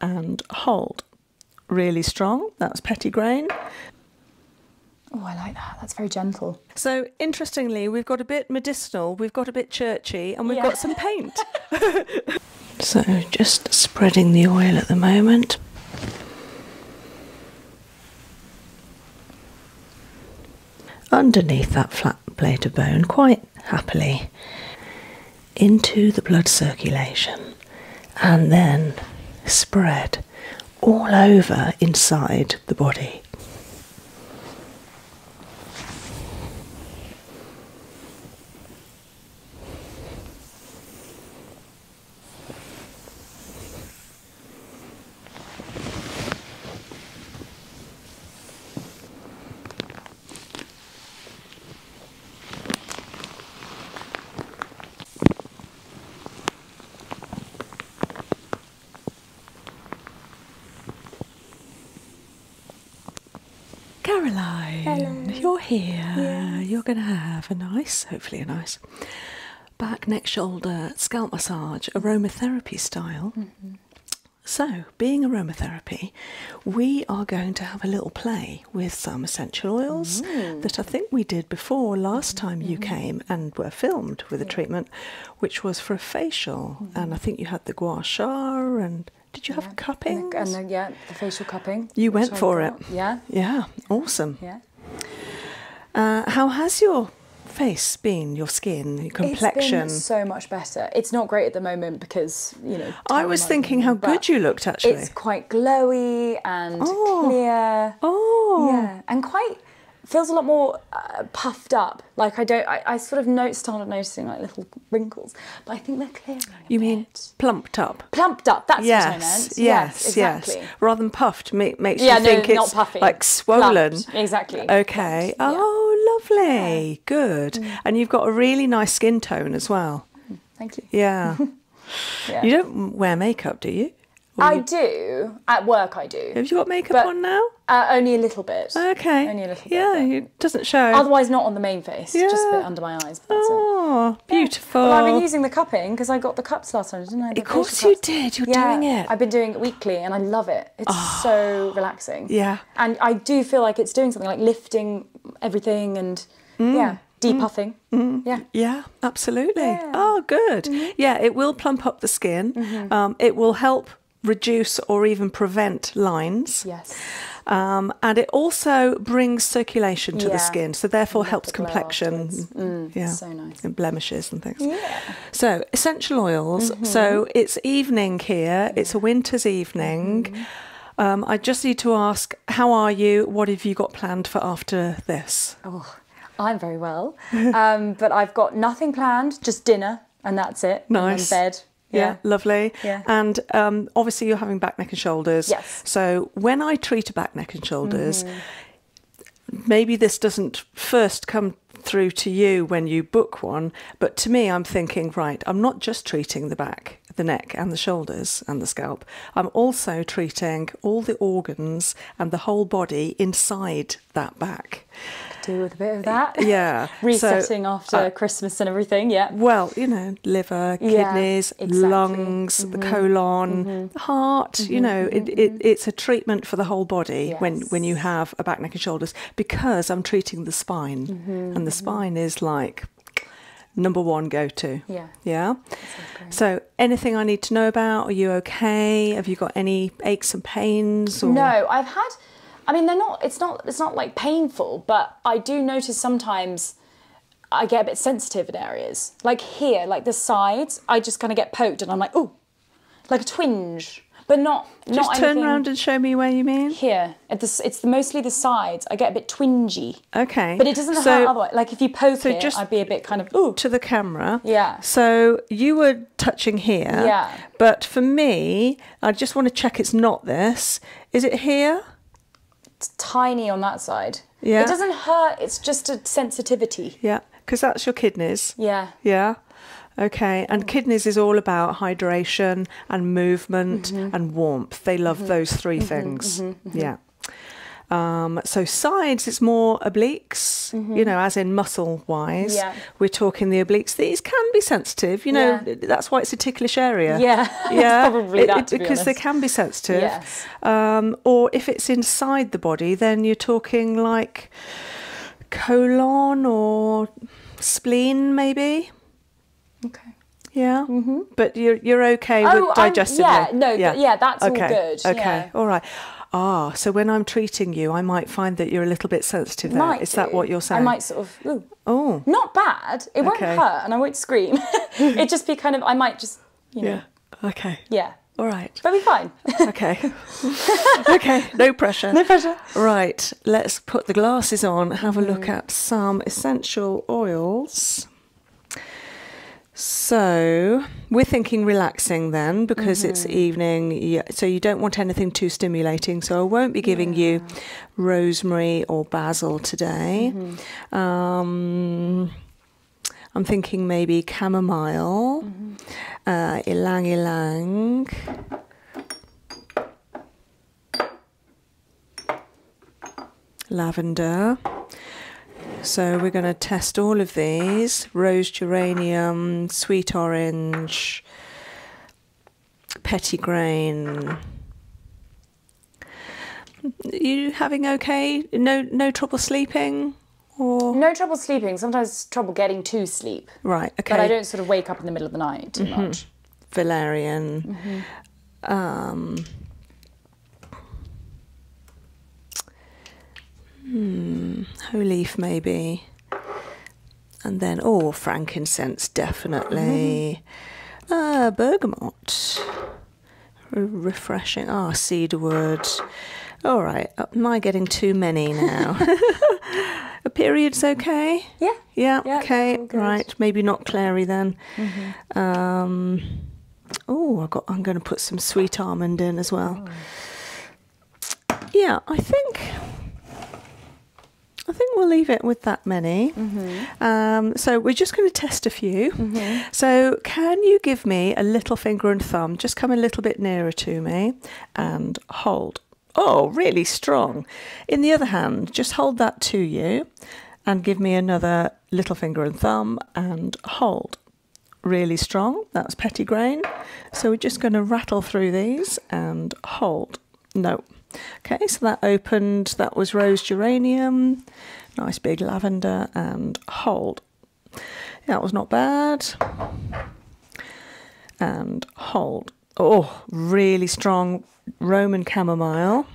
and hold. Really strong, that's pettigrain. Oh, I like that. That's very gentle. So, interestingly, we've got a bit medicinal, we've got a bit churchy, and we've got some paint. so, just spreading the oil at the moment. Underneath that flat plate of bone, quite happily into the blood circulation and then spread all over inside the body. Caroline, you're here. You're going to have a nice, hopefully a nice, back, neck, shoulder, scalp massage, aromatherapy style. Mm-hmm. So, being aromatherapy, we are going to have a little play with some essential oils mm. that I think we did before last time you mm-hmm. came and were filmed with a treatment, which was for a facial. Mm-hmm. And I think you had the gua sha and did you have cupping? And, the, and yeah, the facial cupping. You went for it. Yeah. Yeah. Awesome. Yeah. Uh, how has your face been, your skin, complexion? so much better. It's not great at the moment because you know. I was thinking how good you looked actually. It's quite glowy and oh. clear. Oh. Yeah, and quite feels a lot more uh, puffed up. Like I don't, I, sort of note, started noticing like little wrinkles, but I think they're clear. you mean plumped up? Plumped up. That's yes, Yes, yes, Rather than puffed, makes you think it's puffy. like swollen. Exactly. Okay. Oh, lovely. Good. Mm. And you've got a really nice skin tone as well. Mm. Thank you. Yeah. You don't wear makeup, do you? I do. At work, I do. Have you got makeup on now? Uh, only a little bit. Okay. Only a little bit. Yeah, it doesn't show. Otherwise, not on the main face, just a bit under my eyes. oh, beautiful. Well, I've been using the cupping because I got the cups last time, didn't I? The of course you did. You're yeah, doing it. I've been doing it weekly and I love it. It's ah. so relaxing. Yeah. And I do feel like it's doing something like lifting everything and yeah. Mm depuffing. puffing, mm-hmm. mm-hmm. Yeah. Yeah, absolutely. Oh, good. Mm-hmm. Yeah, it will plump up the skin. Um, it will help reduce or even prevent lines. Yes. Um, and it also brings circulation to the skin, so therefore helps complexion. Mm, mm, yeah. So nice. And blemishes and things. Yeah. So essential oils. So it's evening here. It's a winter's evening. Um, I just need to ask, how are you? What have you got planned for after this? Oh, I'm very well, um, but I've got nothing planned, just dinner, and that's it. Nice. bed. Yeah. lovely. Yeah. And um, obviously, you're having back, neck, and shoulders. Yes. So when I treat a back, neck, and shoulders, mm-hmm. maybe this doesn't first come through to you when you book one. But to me, I'm thinking, right, I'm not just treating the back, the neck, and the shoulders and the scalp. I'm also treating all the organs and the whole body inside that back. do with a bit of that. Yeah. Resetting after Christmas and everything. Yeah. Well, you know, liver, kidneys, lungs, the mm-hmm. colon, mm-hmm. heart. You mm-hmm, know, it's a treatment for the whole body when when you have a back, neck, and shoulders because I'm treating the spine, and the spine is like number one go to. Yeah. Yeah. So, anything I need to know about? Are you okay? Have you got any aches and pains? No, I've had. I mean, they're not. It's not. It's not like painful, but I do notice sometimes I get a bit sensitive in areas, like here, like the sides. I just kind of get poked, and I'm like, oh, like a twinge. But not, Just turn around and show me where you mean. Here, it's mostly the sides. I get a bit twingy. Okay. But it doesn't so, hurt otherwise. Like if you poke so just I'd be a bit kind of to the camera. Yeah. So you were touching here. Yeah. But for me, I just want to check it's not this. Is it here? It's tiny on that side. Yeah. It doesn't hurt. It's just a sensitivity. Yeah. Because that's your kidneys. Yeah. Yeah. Okay, and mm-hmm. kidneys is all about hydration and movement mm-hmm. and warmth. They love mm-hmm. those 3 things. Yeah. Um, so sides, it's more obliques, mm-hmm. you know, as in muscle wise. We're talking the obliques. These can be sensitive, you know, that's why it's a ticklish area. Yeah, yeah. probably Because they can be sensitive. Yes. Um, or if it's inside the body, then you're talking like colon or spleen, maybe. Okay. Yeah. -hmm. But you're you're okay with oh, digestive. Yeah, no, yeah, yeah that's all good. Okay. Yeah. All right. Ah, so when I'm treating you, I might find that you're a little bit sensitive there. Might Is that what you're saying? I might sort of ooh, Oh. Not bad. It won't hurt and I won't scream. it just be kind of I might just you know. Yeah. Okay. Yeah. All right. But we are fine. okay. okay. No pressure. No pressure. Right. Let's put the glasses on, have a look mm. at some essential oils. So we're thinking relaxing then because it's mm-hmm. evening, so you don't want anything too stimulating. So I won't be giving you rosemary or basil today. Mm-hmm. Um, I'm thinking maybe chamomile, mm -hmm lavender. So we're going to test all of these rose geranium, sweet orange, pettigrain. You having okay? No, no trouble sleeping, or no trouble sleeping. Sometimes trouble getting to sleep. Right. Okay. But I don't sort of wake up in the middle of the night too mm-hmm. much. Valerian. Mm-hmm. um, Hmm, hoe leaf maybe. And then, oh, frankincense, definitely. Mm. bergamot. refreshing. Ah, oh, cedarwood. All right, am I getting too many now? A period's okay? Yeah. Yeah, okay, right. Maybe not Clary then. Mm-hmm. Um, Oh, I am going to put some sweet almond in as well. Yeah, I think. I think we'll leave it with that many. Mm-hmm. Um, so we're just going to test a few. Mm-hmm. So can you give me a little finger and thumb? Just come a little bit nearer to me and hold. Oh, really strong. In the other hand, just hold that to you and give me another little finger and thumb and hold. Really strong, that's pettigrain. So we're just going to rattle through these and hold. No. Okay, so that opened, that was rose geranium, nice big lavender and hold. That was not bad. And hold. Oh, really strong Roman chamomile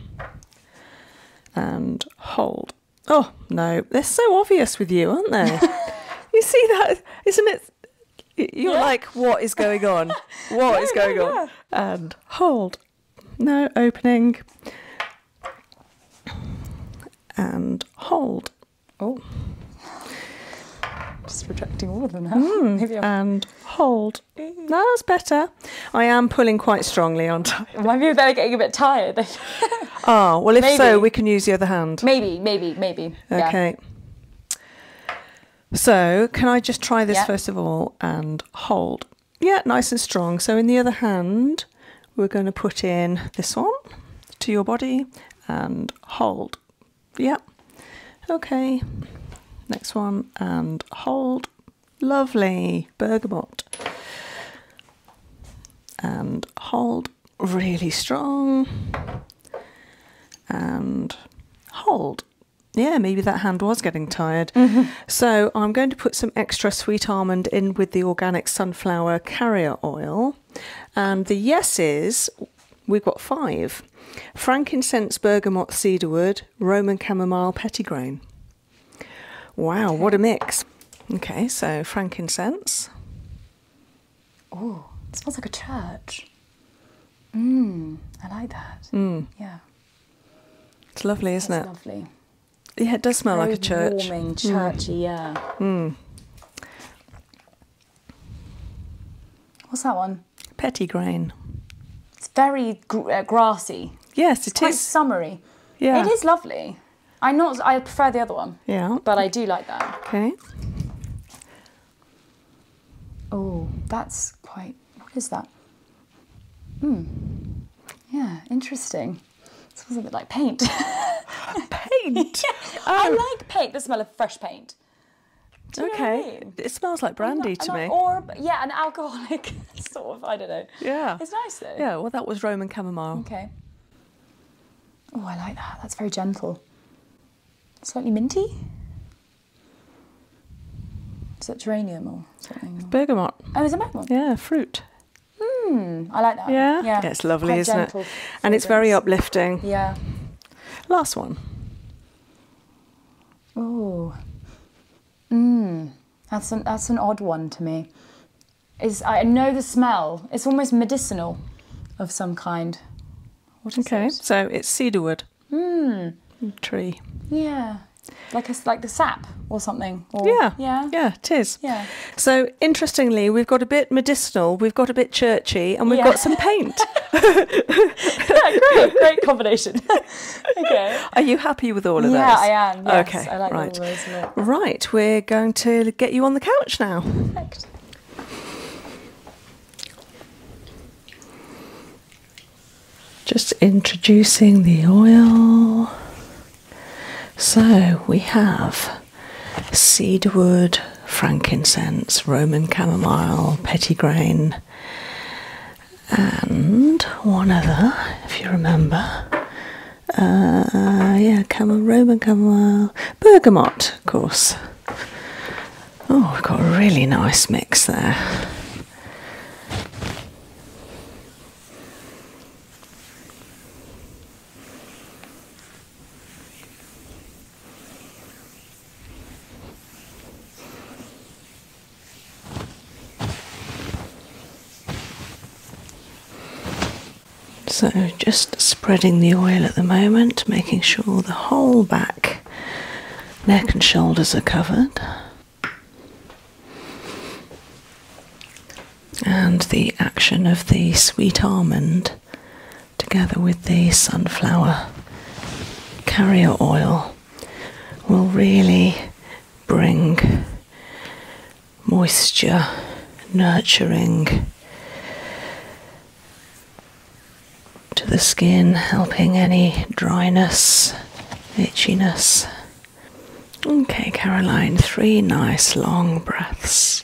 and hold. Oh no, they're so obvious with you, aren't they? you see that, isn't it? You're like, what is going on? What is going on? And hold. No opening. And hold. Oh. Just rejecting all of them hmm. and hold. that's better. I am pulling quite strongly, aren't I? Maybe they're getting a bit tired. ah, well, if so, we can use the other hand. Maybe, maybe, maybe. Okay. So, can I just try this first of all and hold? Yeah, nice and strong. So, in the other hand, we're going to put in this one to your body and hold. Yeah. Okay. Next one and hold. Lovely. Bergamot. And hold really strong. And hold. Yeah, maybe that hand was getting tired. Mm-hmm. So I'm going to put some extra sweet almond in with the organic sunflower carrier oil. And the yeses, we've got five frankincense, bergamot, cedarwood, Roman chamomile, pettigrain. Wow, what a mix. Okay, so frankincense. Oh, smells like a church. Mmm, I like that. Mm. Yeah. It's lovely, isn't it? lovely. Yeah, it does smell like a church. Warming, mm. churchy, yeah. Mm. What's that one? Petty grain. It's very uh, grassy. Yes, it's summery. Yeah. It is lovely. I not I prefer the other one. Yeah. But I do like that. Okay. Oh, that's quite what is that? Hmm. Yeah, interesting. It smells a bit like paint. paint? yeah. I oh. like paint, the smell of fresh paint. Okay. It smells like brandy to me. Or, yeah, an alcoholic sort of, I don't know. Yeah. It's nice though. Yeah, well, that was Roman chamomile. Okay. Oh, I like that. That's very gentle. Slightly minty? Is that geranium or something? bergamot. Oh, is it bergamot? Yeah, fruit. Mm, I like that. Yeah, yeah. it's lovely, isn't it? And it's very uplifting. Yeah. Last one. Oh, Mm, that's an that's an odd one to me. Is I know the smell. It's almost medicinal, of some kind. okay, so it's cedarwood. Mm. Tree. Yeah. Like a, like the sap or something. yeah. Yeah. Yeah, it is. Yeah. So interestingly, we've got a bit medicinal, we've got a bit churchy, and we've got some paint. yeah, great, great combination. Are you happy with all of those? Yeah, I am. okay, right. Right, we're going to get you on the couch now. Just introducing the oil. So we have cedarwood, frankincense, Roman chamomile, pettigrain, and one other, if you remember. Uh, yeah, camel, Roman Camomile, bergamot, of course. Oh, we've got a really nice mix there. So just spreading the oil at the moment, making sure the whole back, neck and shoulders are covered. And the action of the sweet almond together with the sunflower carrier oil will really bring moisture, nurturing to the skin, helping any dryness, itchiness. Okay, Caroline, three nice long breaths.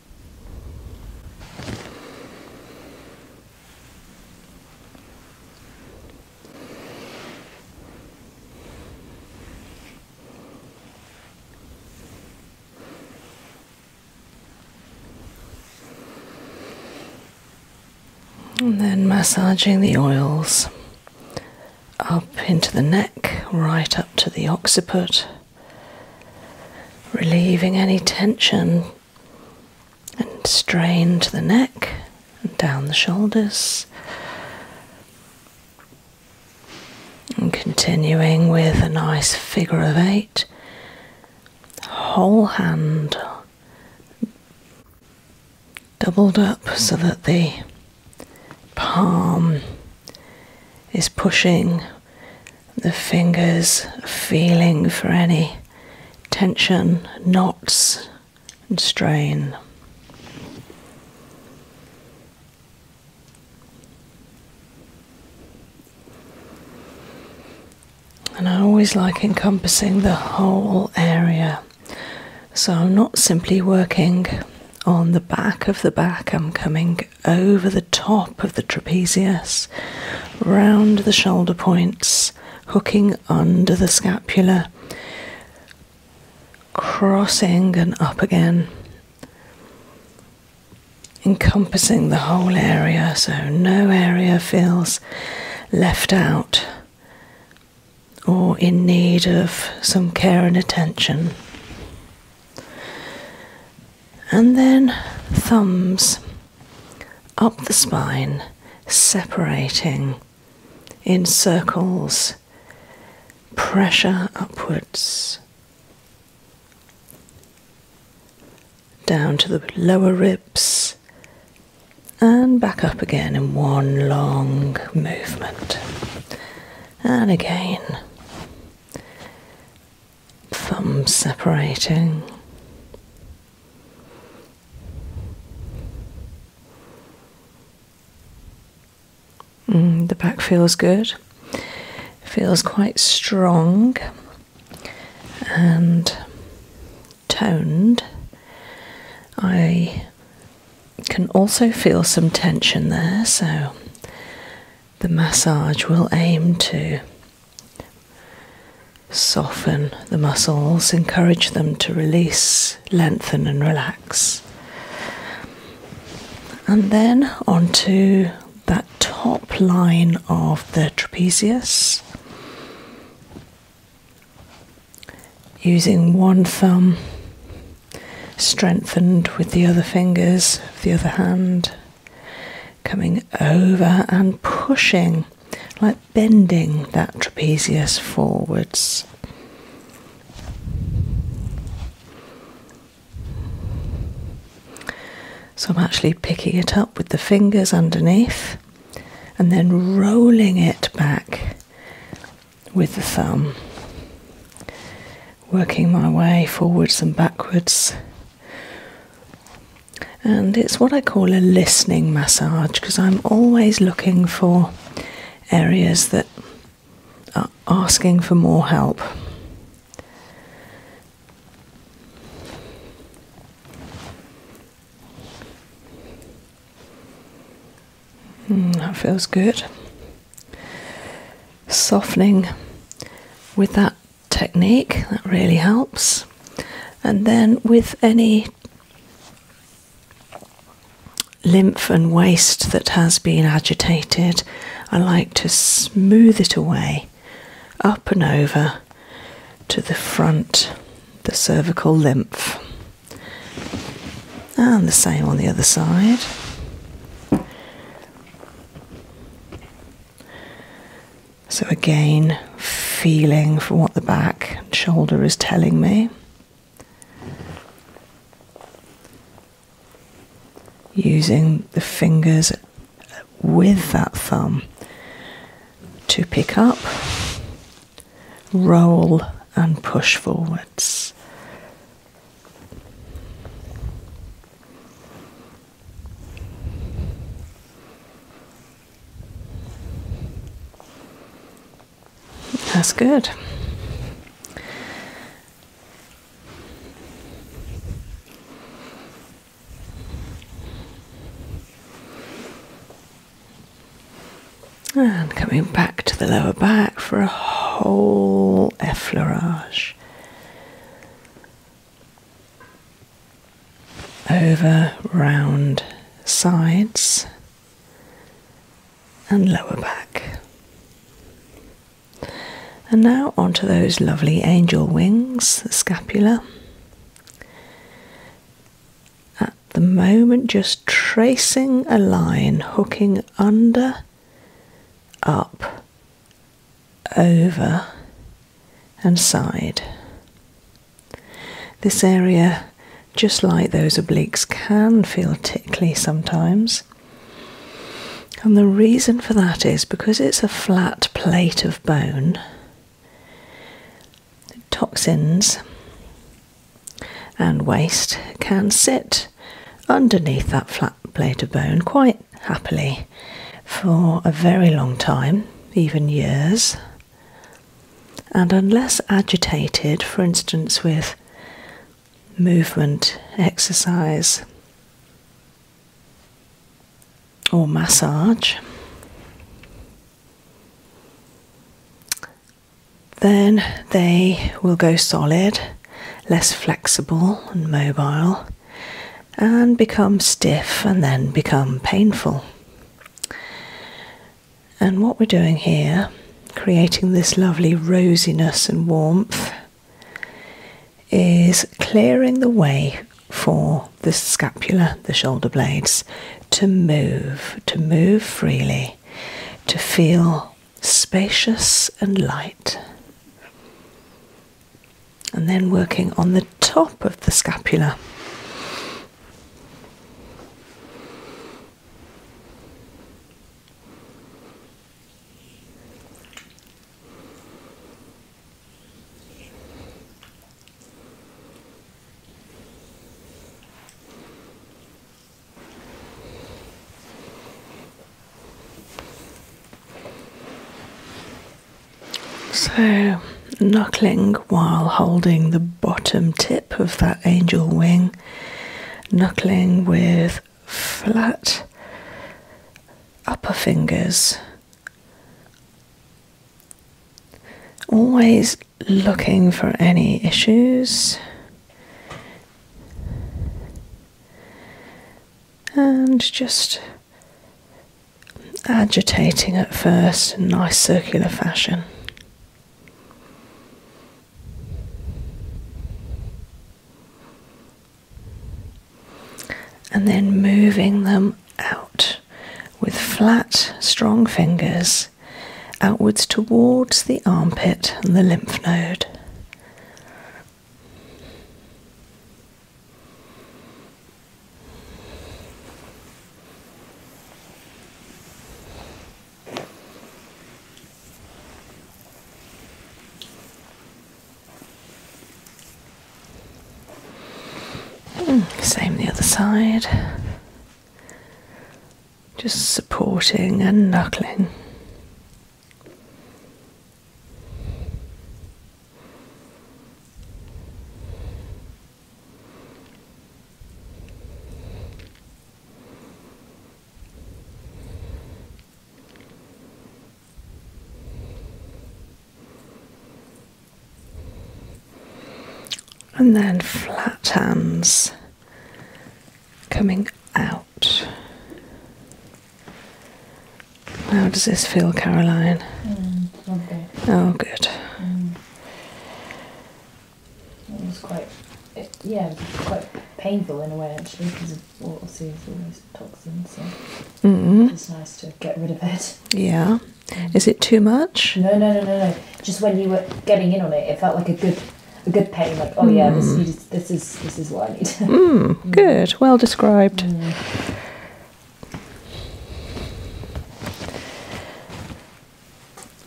And then massaging the oils up into the neck, right up to the occiput, relieving any tension and strain to the neck and down the shoulders. And continuing with a nice figure of eight, whole hand doubled up so that the palm is pushing the fingers feeling for any tension, knots, and strain. And I always like encompassing the whole area. So I'm not simply working on the back of the back, I'm coming over the top of the trapezius, round the shoulder points, hooking under the scapula, crossing and up again, encompassing the whole area so no area feels left out or in need of some care and attention and then thumbs up the spine, separating in circles, pressure upwards, down to the lower ribs, and back up again in one long movement. And again thumbs separating. Mm, the back feels good, feels quite strong and toned. I can also feel some tension there, so the massage will aim to Soften the muscles, encourage them to release, lengthen, and relax. And then onto that top line of the trapezius. Using one thumb strengthened with the other fingers of the other hand coming over and pushing, like bending that trapezius forwards. So I'm actually picking it up with the fingers underneath and then rolling it back with the thumb, working my way forwards and backwards and it's what I call a listening massage because I'm always looking for areas that are asking for more help. Hmm, that feels good. Softening with that technique, that really helps. And then with any lymph and waste that has been agitated, I like to smooth it away up and over to the front, the cervical lymph. And the same on the other side. So, again, feeling for what the back and shoulder is telling me. Using the fingers with that thumb to pick up, roll, and push forwards. That's good. And coming back to the lower back for a whole effleurage over round sides and lower back. And now onto those lovely angel wings, the scapula. At the moment, just tracing a line, hooking under, up, over, and side. This area, just like those obliques, can feel tickly sometimes. And the reason for that is because it's a flat plate of bone, toxins and waste can sit underneath that flat plate of bone quite happily for a very long time, even years. And unless agitated, for instance, with movement, exercise, or massage, then they will go solid, less flexible and mobile, and become stiff and then become painful. And what we're doing here, creating this lovely rosiness and warmth, is clearing the way for the scapula, the shoulder blades, to move, to move freely, to feel spacious and light and then working on the top of the scapula. So, knuckling while holding the bottom tip of that angel wing, knuckling with flat upper fingers. Always looking for any issues. And just agitating at first in nice circular fashion. And then moving them out with flat, strong fingers outwards towards the armpit and the lymph node. Same the other side. Just supporting and knuckling and then flat hands coming out. How does this feel, Caroline? Mm, oh, good. Mm. It was quite, yeah, quite painful in a way actually because water soothes all those toxins. Mm-hmm. it's nice to get rid of it. Yeah. Is it too much? No, no, no, no, no. Just when you were getting in on it, it felt like a good, a good pain. Like, oh yeah, this, mm. is this is what I need. Mm. Good. Well described.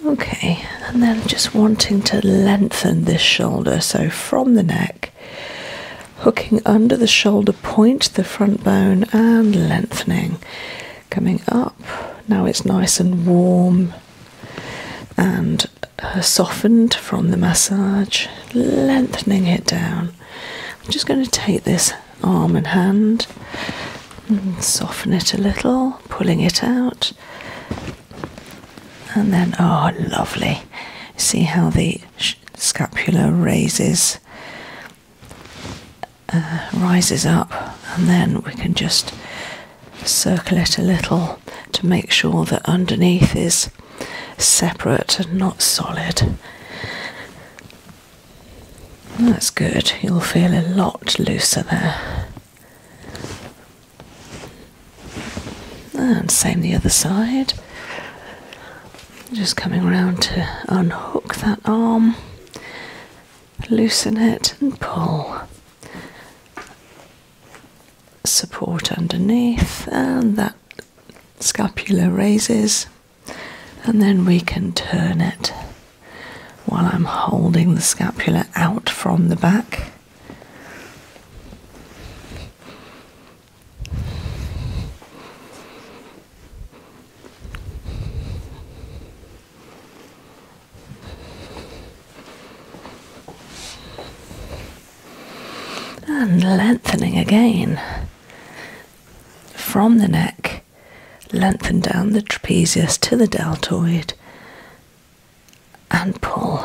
Okay, and then just wanting to lengthen this shoulder, so from the neck, hooking under the shoulder point, the front bone, and lengthening. Coming up, now it's nice and warm and uh, softened from the massage, lengthening it down. I'm just going to take this arm and hand. soften it a little, pulling it out. And then, oh, lovely. See how the scapula raises, uh, rises up, and then we can just circle it a little to make sure that underneath is separate and not solid. That's good, you'll feel a lot looser there. And same the other side. Just coming around to unhook that arm, loosen it, and pull. Support underneath, and that scapula raises and then we can turn it while I'm holding the scapula out from the back. And lengthening again from the neck lengthen down the trapezius to the deltoid and pull.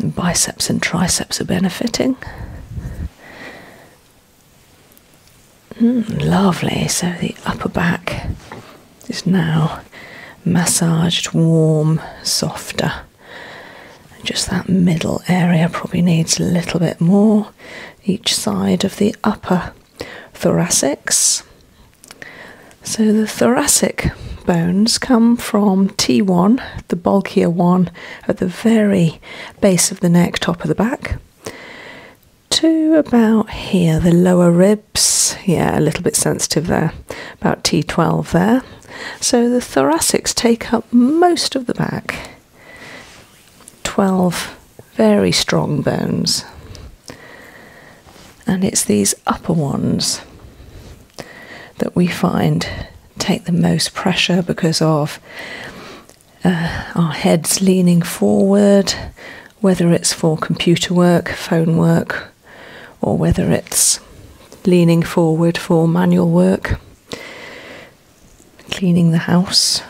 biceps and triceps are benefiting. Hmm, lovely, so the upper back is now massaged, warm, softer. Just that middle area probably needs a little bit more each side of the upper thoracics. So the thoracic bones come from T1, the bulkier one at the very base of the neck, top of the back, to about here, the lower ribs, yeah, a little bit sensitive there, about T12 there. So the thoracics take up most of the back 12 very strong bones. And it's these upper ones that we find take the most pressure because of uh, our heads leaning forward, whether it's for computer work, phone work, or whether it's leaning forward for manual work cleaning the house,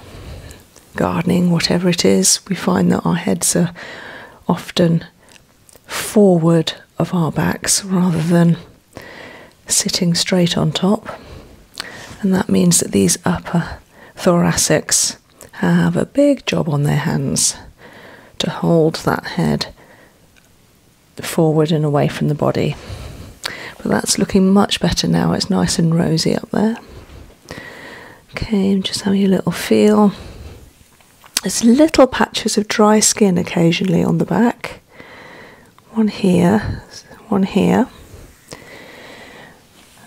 gardening, whatever it is, we find that our heads are often forward of our backs rather than sitting straight on top. And that means that these upper thoracics have a big job on their hands to hold that head forward and away from the body. But that's looking much better now. It's nice and rosy up there. Okay, just having a little feel. There's little patches of dry skin occasionally on the back. One here, one here.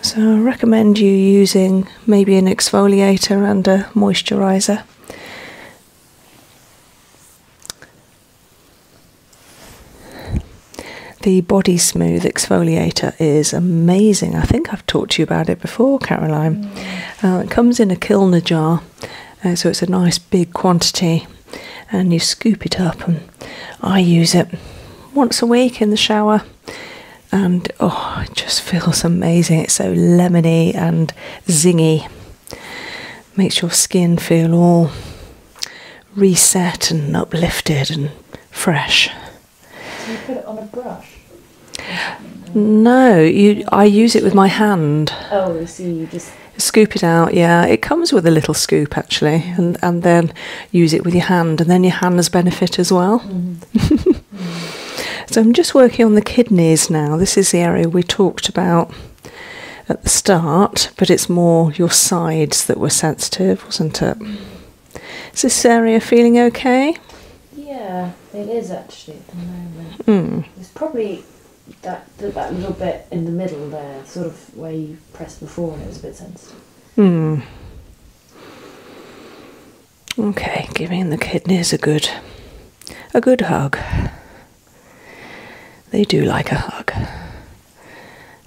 So I recommend you using maybe an exfoliator and a moisturiser. The Body Smooth Exfoliator is amazing. I think I've talked to you about it before, Caroline. Mm. Uh, it comes in a kilner jar, uh, so it's a nice big quantity, and you scoop it up. And I use it once a week in the shower, and oh, it just feels amazing. It's so lemony and zingy, makes your skin feel all reset and uplifted and fresh. you put it on a brush? No, I use it with my hand. Oh, so you just scoop it out. Yeah, it comes with a little scoop actually, and and then use it with your hand, and then your hand has benefit as well. Mm-hmm. so I'm just working on the kidneys now. This is the area we talked about at the start, but it's more your sides that were sensitive, wasn't it? Is this area feeling okay? Yeah, it is actually at the moment. Hmm. It's probably that that little bit in the middle there, sort of where you pressed before, and it was a bit sensitive. Hmm. Okay, giving the kidneys a good, a good hug. They do like a hug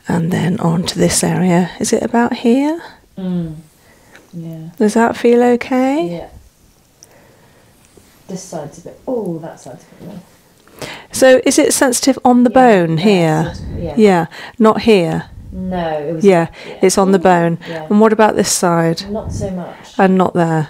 and then on to this area. Is it about here? Mm. Yeah. Does that feel okay? Yeah. This side's a bit. Oh, that side's a bit. Low. So is it sensitive on the bone here? Yeah. yeah. Not here. No, Yeah, it's on the bone. And what about this side? Not so much. And not there.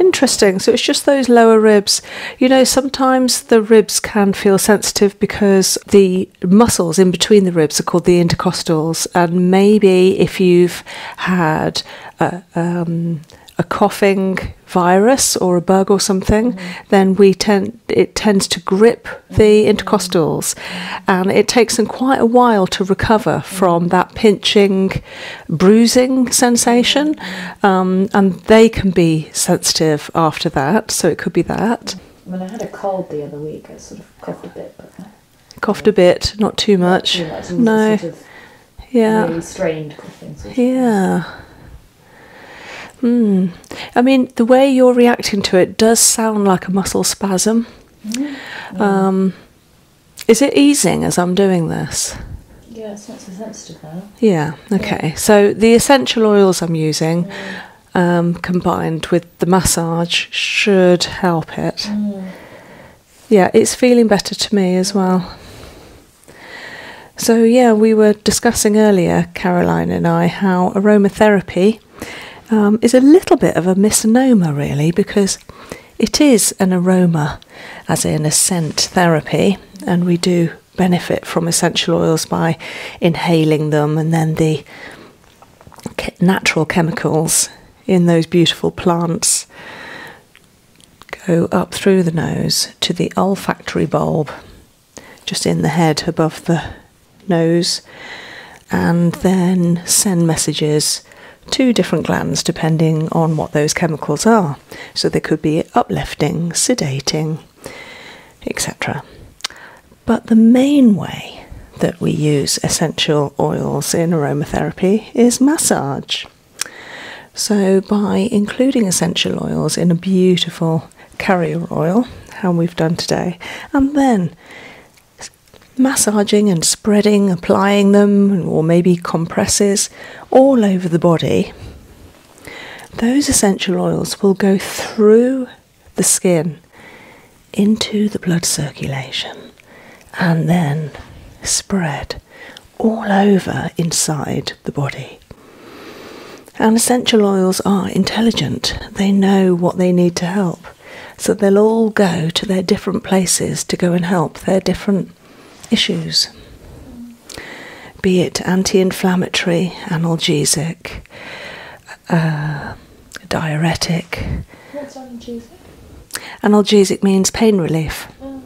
Interesting. So it's just those lower ribs. You know, sometimes the ribs can feel sensitive because the muscles in between the ribs are called the intercostals, and maybe if you've had a, um, coughing virus or a bug or something, mm-hmm. then we tend it tends to grip the mm-hmm. intercostals, and it takes them quite a while to recover mm-hmm. from that pinching, bruising sensation, um, and they can be sensitive after that. So it could be that. I mean, I had a cold the other week. I sort of coughed a bit, but uh, coughed a bit, not too much. No. yeah. strained yeah. Thing. Hmm. I mean, the way you're reacting to it does sound like a muscle spasm. Mm-hmm. Um, is it easing as I'm doing this? Yeah, it's not so sensitive Yeah, okay. So the essential oils I'm using mm. Um, combined with the massage should help it. Mm. Yeah, it's feeling better to me as well. So, yeah, we were discussing earlier, Caroline and I, how aromatherapy um, is a little bit of a misnomer, really, because it is an aroma, as in a scent therapy, and we do benefit from essential oils by inhaling them, and then the natural chemicals in those beautiful plants go up through the nose to the olfactory bulb just in the head above the nose and then send messages to different glands depending on what those chemicals are. So they could be uplifting, sedating, etc. But the main way that we use essential oils in aromatherapy is massage. So, by including essential oils in a beautiful carrier oil, how we've done today, and then massaging and spreading, applying them, or maybe compresses all over the body, those essential oils will go through the skin into the blood circulation and then spread all over inside the body. And essential oils are intelligent, they know what they need to help. So they'll all go to their different places to go and help their different issues. Be it anti inflammatory, analgesic, uh, diuretic. analgesic? means pain relief. Oh,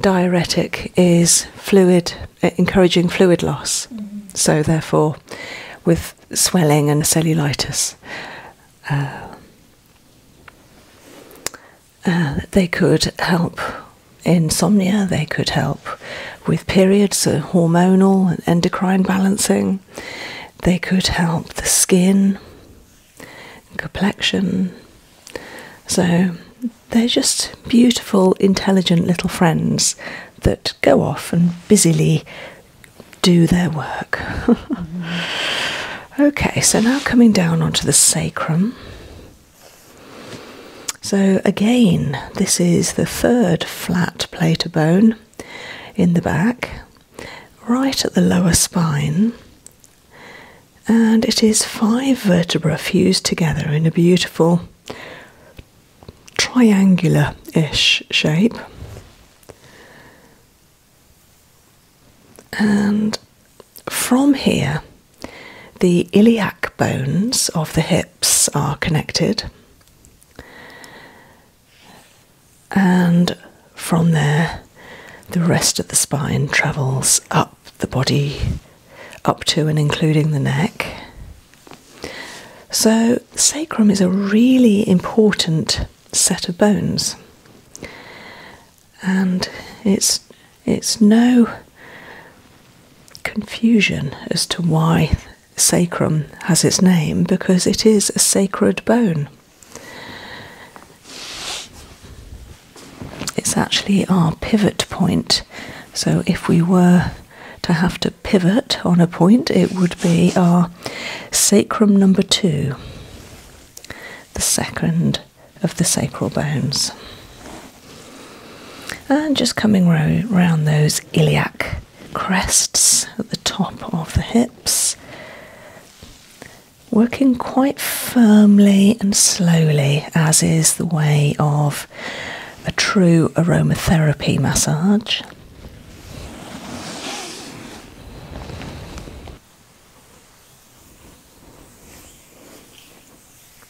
diuretic is fluid, eh, encouraging fluid loss. Mm-hmm. So therefore, with swelling and cellulitis, uh, uh, they could help insomnia, they could help with periods, so hormonal and endocrine balancing. They could help the skin, complexion. So they're just beautiful, intelligent little friends that go off and busily do their work. Okay, so now coming down onto the sacrum. So, again, this is the third flat plater bone in the back, right at the lower spine, and it is five vertebra fused together in a beautiful triangular ish shape. And from here, the iliac bones of the hips are connected, and from there, the rest of the spine travels up the body, up to and including the neck. So, sacrum is a really important set of bones, and it's it's no confusion as to why sacrum has its name because it is a sacred bone. It's actually our pivot point. So if we were to have to pivot on a point, it would be our sacrum number two, the second of the sacral bones. And just coming round those iliac crests at the top of the hips, working quite firmly and slowly, as is the way of a true aromatherapy massage.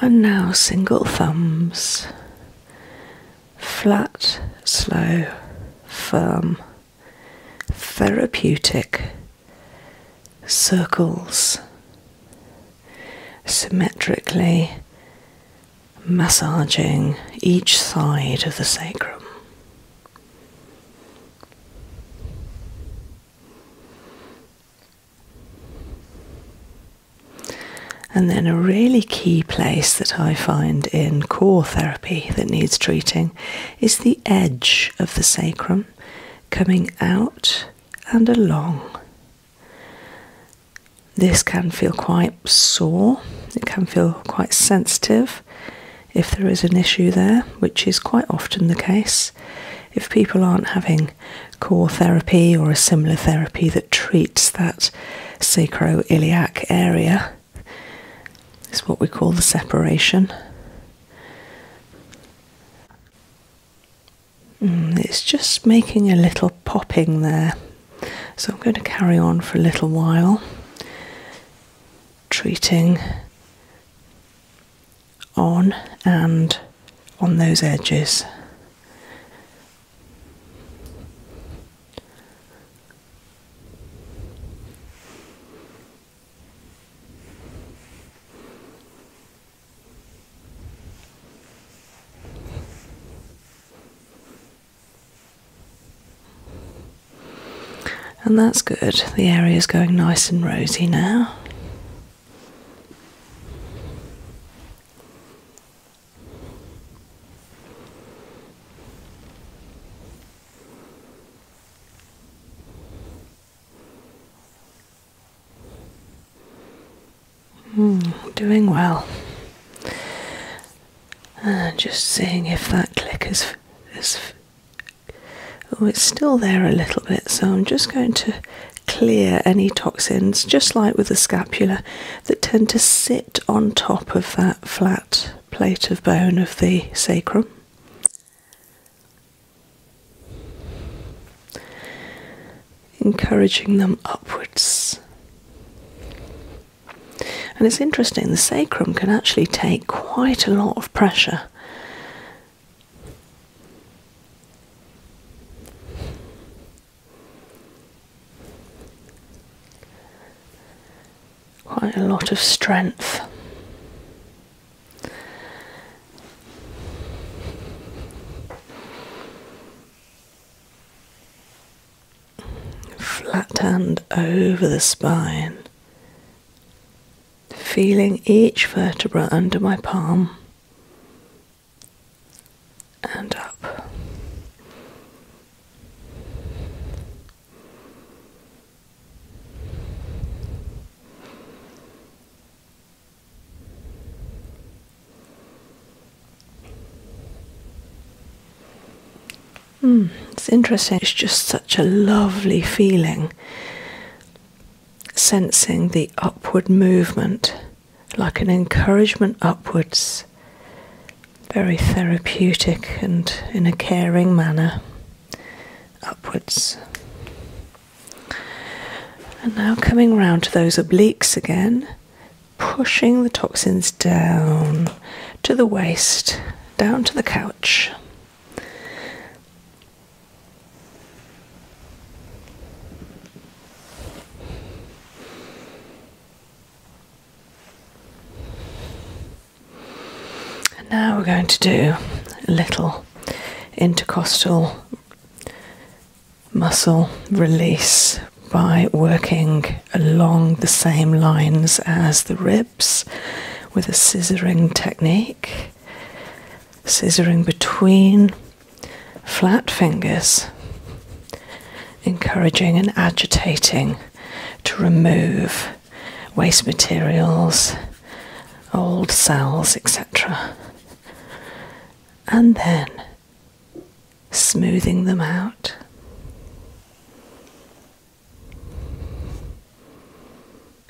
And now single thumbs, flat, slow, firm, therapeutic, circles, symmetrically massaging each side of the sacrum. And then a really key place that I find in core therapy that needs treating is the edge of the sacrum coming out and along. This can feel quite sore, it can feel quite sensitive if there is an issue there, which is quite often the case. If people aren't having core therapy or a similar therapy that treats that sacroiliac area is what we call the separation. Mm, it's just making a little popping there. So I'm going to carry on for a little while, treating on and on those edges. And that's good, the area is going nice and rosy now. Mm, doing well. Uh, just seeing if that click is is. Oh, it's still there a little bit, so I'm just going to clear any toxins, just like with the scapula, that tend to sit on top of that flat plate of bone of the sacrum. Encouraging them upwards. And it's interesting, the sacrum can actually take quite a lot of pressure Quite a lot of strength. Flat hand over the spine, feeling each vertebra under my palm and up. Mm, it's interesting, it's just such a lovely feeling sensing the upward movement, like an encouragement upwards, very therapeutic and in a caring manner, upwards. And now coming round to those obliques again, pushing the toxins down to the waist, down to the couch. And now we're going to do a little intercostal muscle release by working along the same lines as the ribs with a scissoring technique, scissoring between flat fingers, encouraging and agitating to remove waste materials, old cells, etc. And then smoothing them out.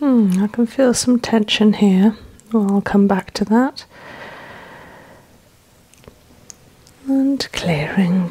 Hmm, I can feel some tension here. I'll come back to that. And clearing.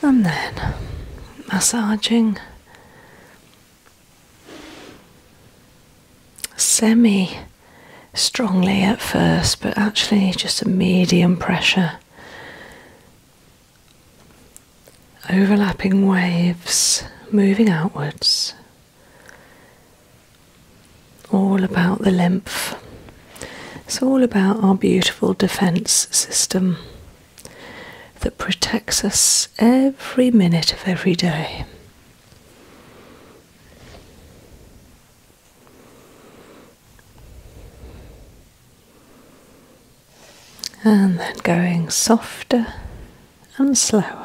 And then massaging semi strongly at first, but actually just a medium pressure overlapping waves moving outwards, all about the lymph. It's all about our beautiful defense system that protects us every minute of every day and then going softer and slower.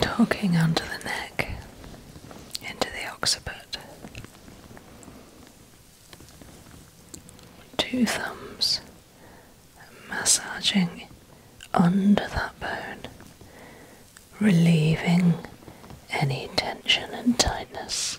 And hooking under the neck into the occiput two thumbs massaging under that bone, relieving any tension and tightness.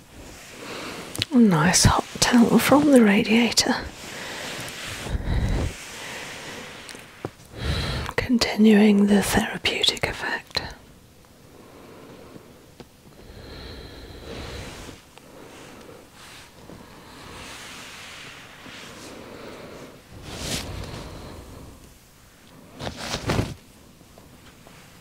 A nice hot towel from the radiator. Continuing the therapeutic effect.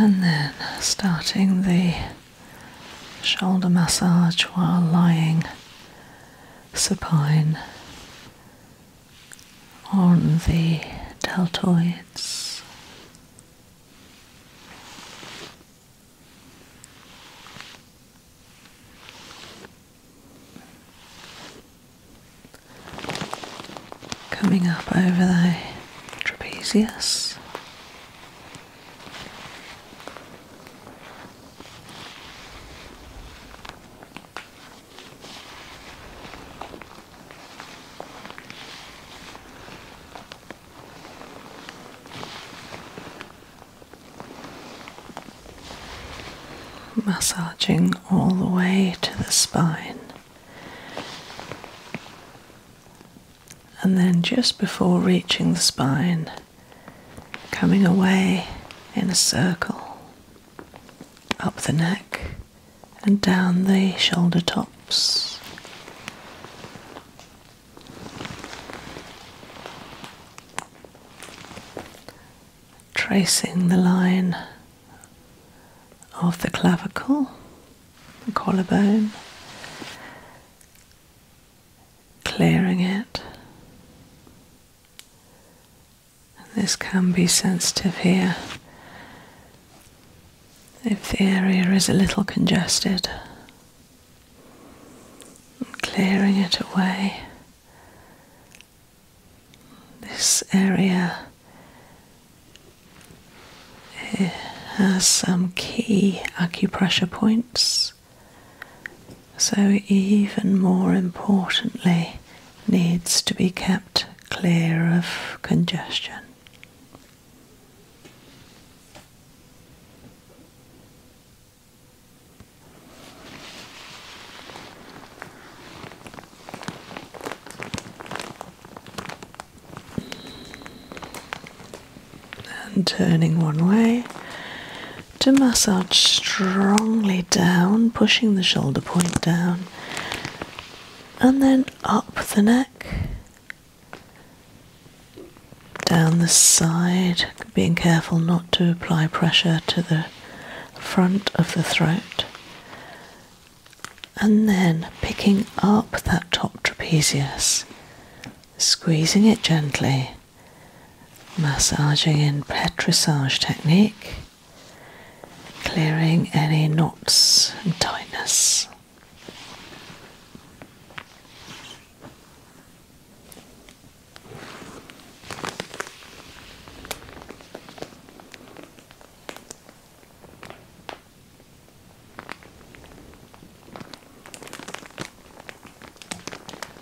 And then starting the shoulder massage while lying supine on the deltoids. Coming up over the trapezius. Massaging all the way to the spine. And then just before reaching the spine, coming away in a circle up the neck and down the shoulder tops. Tracing the line of the clavicle, the collarbone, clearing it this can be sensitive here if the area is a little congested. And clearing it away. This area eh, has some key acupressure points so even more importantly, needs to be kept clear of congestion. And turning one way to massage strongly down, pushing the shoulder point down, and then up the neck, down the side, being careful not to apply pressure to the front of the throat, and then picking up that top trapezius, squeezing it gently massaging in petrissage technique, clearing any knots and tightness.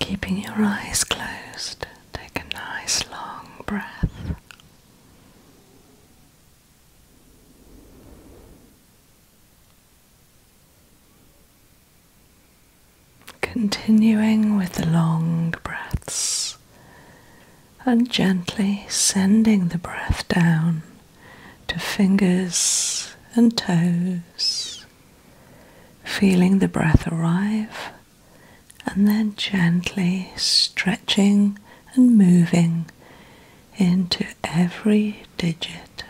Keeping your eyes closed, take a nice long breath. Continuing with the long breaths and gently sending the breath down to fingers and toes, feeling the breath arrive and then gently stretching and moving into every digit.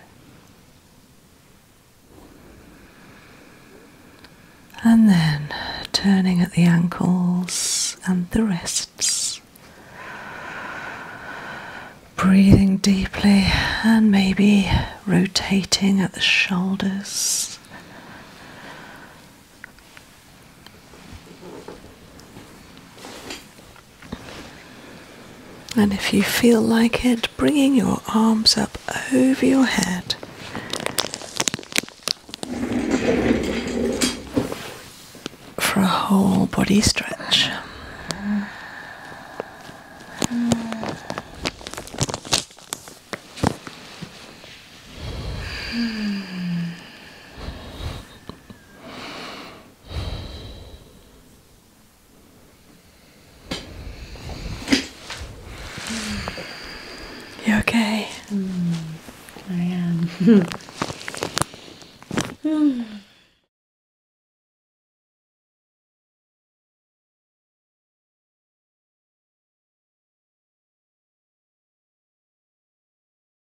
And then turning at the ankles and the wrists. Breathing deeply and maybe rotating at the shoulders and if you feel like it, bringing your arms up over your head. For a whole body stretch. You okay? Mm, I am.